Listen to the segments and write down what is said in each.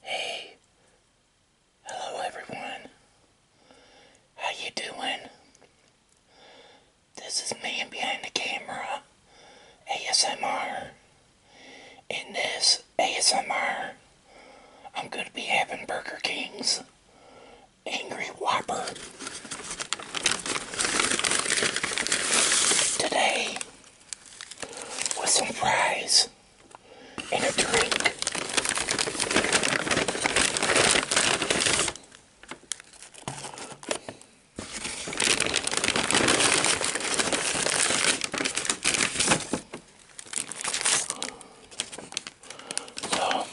Hey, hello everyone. How you doing? This is man behind the camera, ASMR. In this ASMR, I'm gonna be having Burger King's Angry Whopper today with some fries and a drink. So,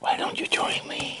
why don't you join me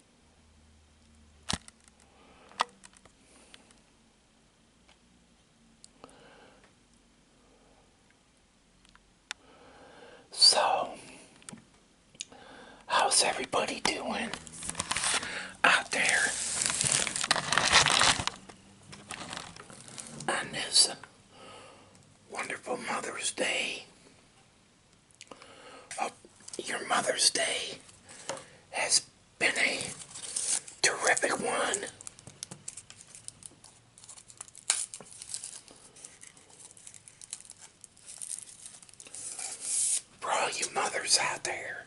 So, how's everybody doing out there on this wonderful Mother's Day? Well, oh, your Mother's Day has been a terrific one. all you mothers out there.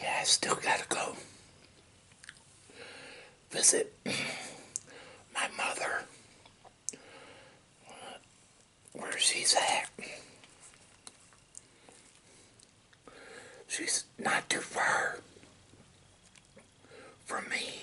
Yeah, I still gotta go visit my mother Where's she's at. She's not too far from me.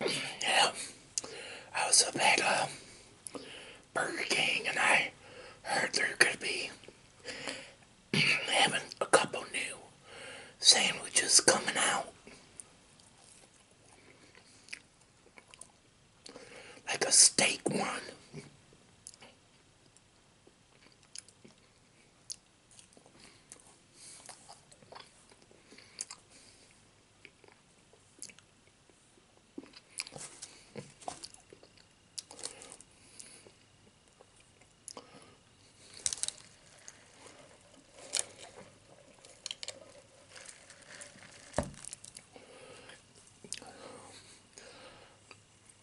Yeah, I was up at uh, Burger King and I heard they're gonna be having a couple new sandwiches coming out. Like a steak one.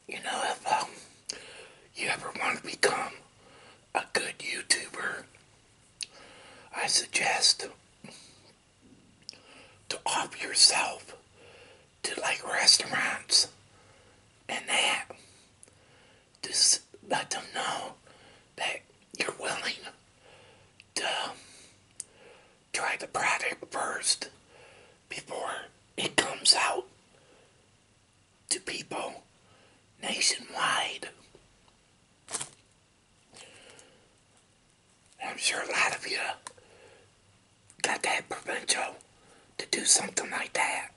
You know, if um, you ever want to become a good YouTuber, I suggest to offer yourself to like restaurants and that. Just let them know that you're willing to try the product first before it comes out to people nationwide. I'm sure a lot of you got that provincial to do something like that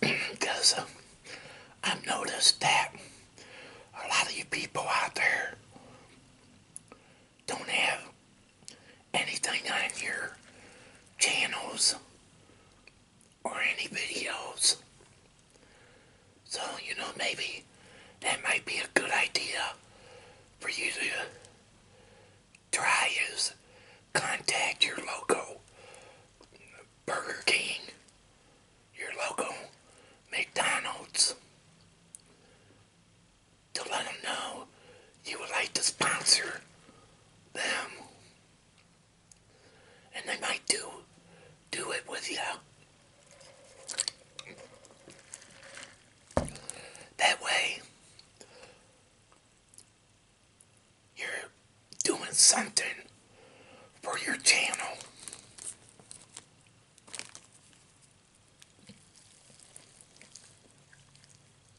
because uh, I've noticed that a lot of you people out there don't have anything on your channels or any videos. So, you know, maybe that might be a good idea for you to try is contact your local Burger King, your local McDonald's, to let them know you would like to sponsor them. And they might do do it with you. That way you're doing something for your channel.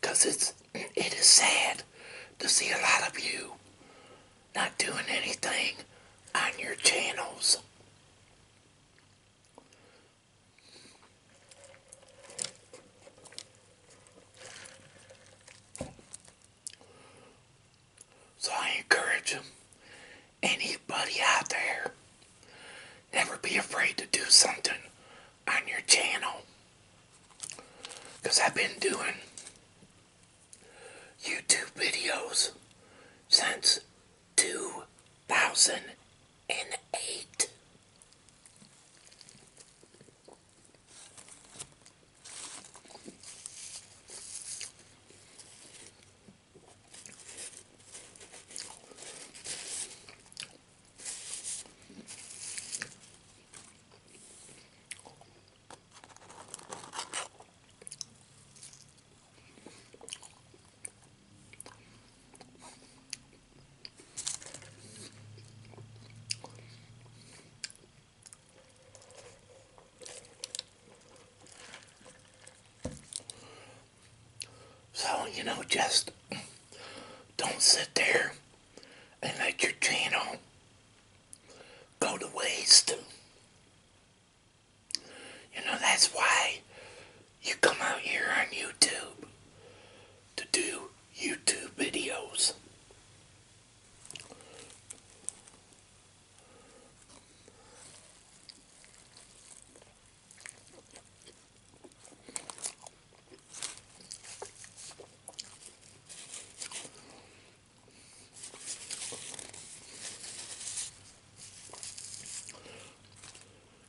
Because it's, it is sad to see a lot of you not doing anything on your channels. So I encourage anybody out there, never be afraid to do something on your channel. Because I've been doing YouTube videos since 2008. So, you know, just don't sit there and let your channel go to waste. You know, that's why you come out here on YouTube to do YouTube videos.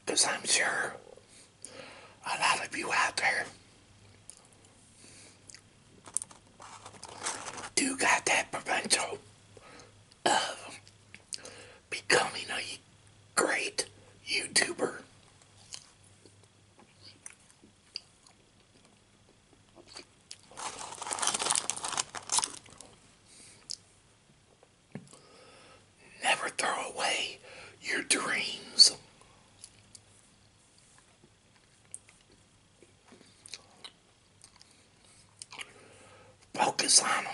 Because I'm sure a lot of you out there do got that potential of becoming a great YouTuber. Never throw away your dreams. Focus on them.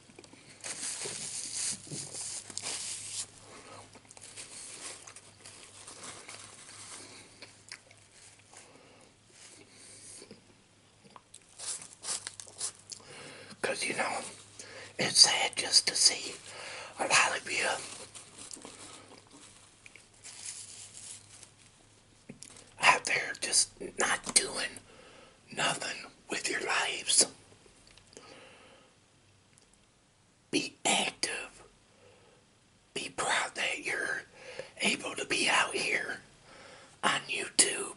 Because, you know, it's sad just to see a lot of you out there just not doing nothing with your lives. Be active. Be proud that you're able to be out here on YouTube.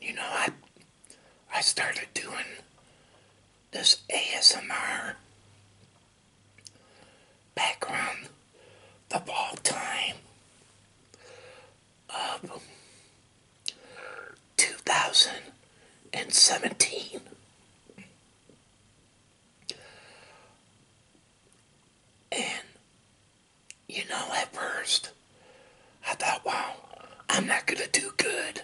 You know, I I started doing this ASMR background the ball time 2017. And, you know, at first, I thought, wow, I'm not going to do good.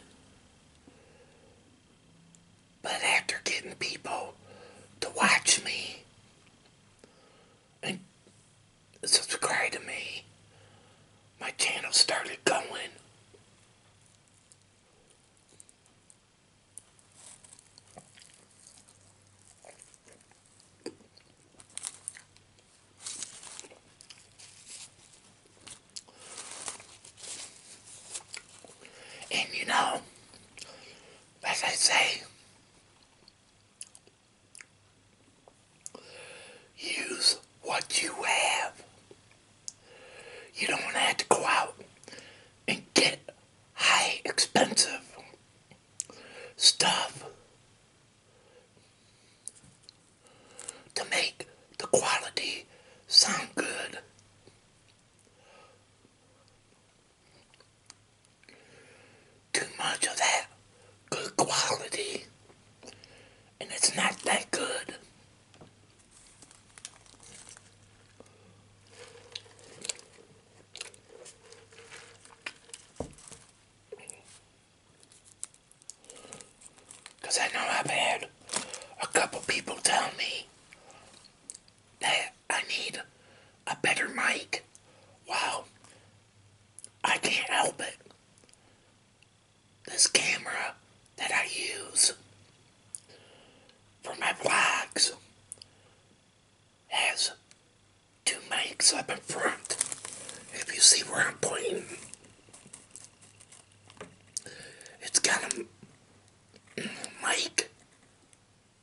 But after getting people to watch me and subscribe to me, my channel started going. And you know, as I say, Use what you have. You don't have to go out and get high expensive stuff to make the quality sound good. Too much of that good quality and it's not that good. I know I've a couple people tell me that I need a better mic. Wow, I can't help it this camera that I use for my vlogs has two mics up in front. If you see where I'm pointing, it's got a mic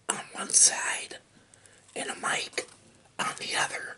on one side and a mic on the other.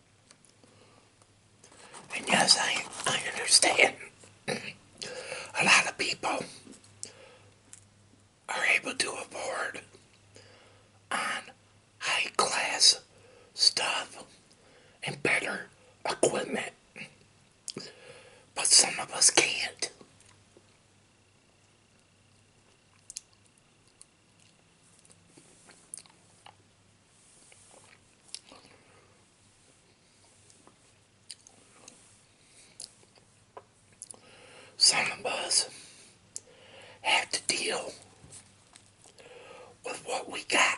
And yes, I, I understand a lot of people are able to afford on high class stuff and better equipment, but some of us can't. Some of us have to deal with what we got.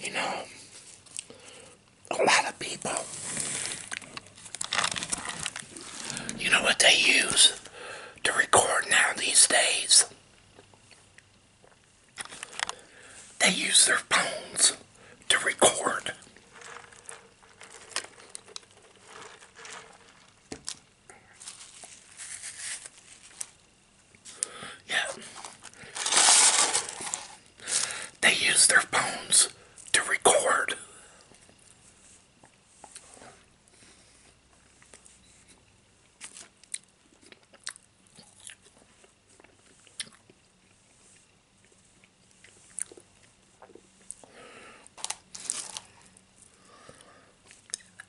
You know, a lot of people, you know what they use to record now these days? They use their phones to record. Yeah. They use their phones to record.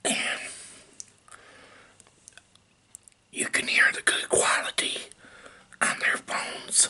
And you can hear the good quality on their phones.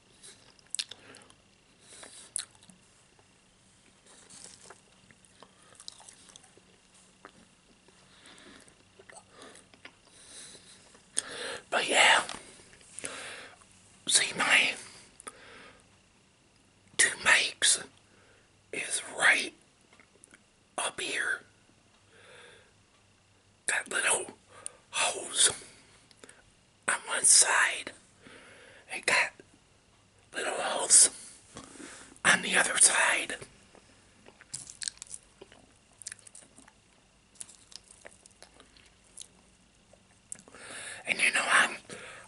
But yeah, see my two makes is right up here that little hose on one side. and got little holes on the other side. And you know, I'm,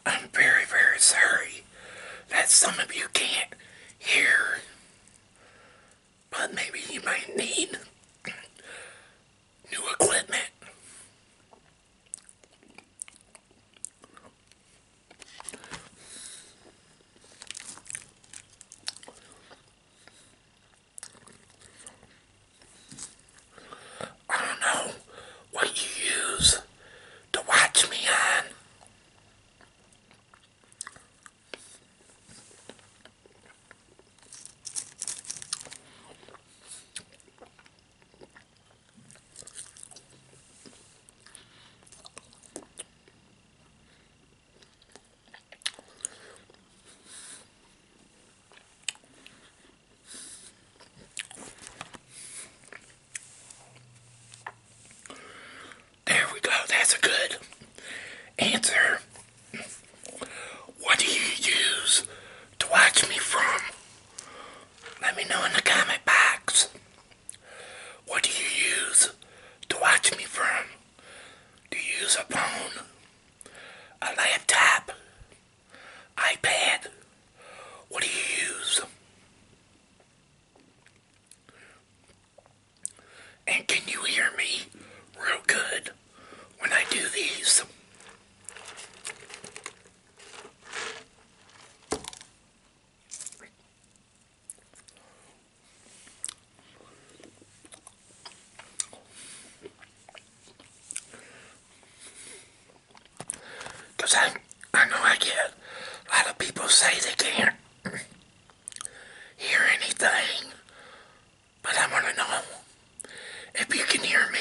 I'm very, very sorry that some of you can't hear. But maybe you might need new equipment. I don't know what you use to watch me on. There we go. That's a good answer. What do you use to watch me from? Let me know in the comment box. What do you use to watch me from? Do you use a phone, a laptop, iPad? What do you use? And can you hear me real good? when I do these. I, I know I get a lot of people say they can't hear anything but I want to know if you can hear me.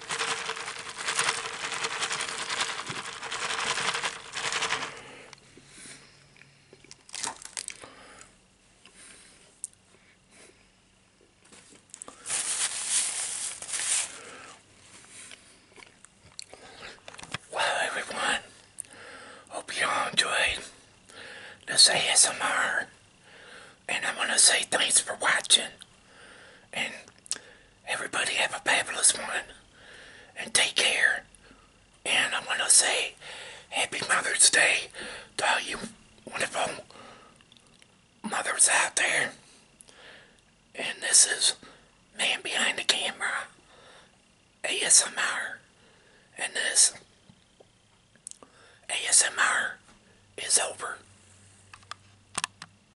Well, everyone, hope you all enjoyed this ASMR, and I want to say thanks for watching, and Everybody have a fabulous one. And take care. And I want to say Happy Mother's Day to all you wonderful mothers out there. And this is Man Behind the Camera ASMR. And this ASMR is over.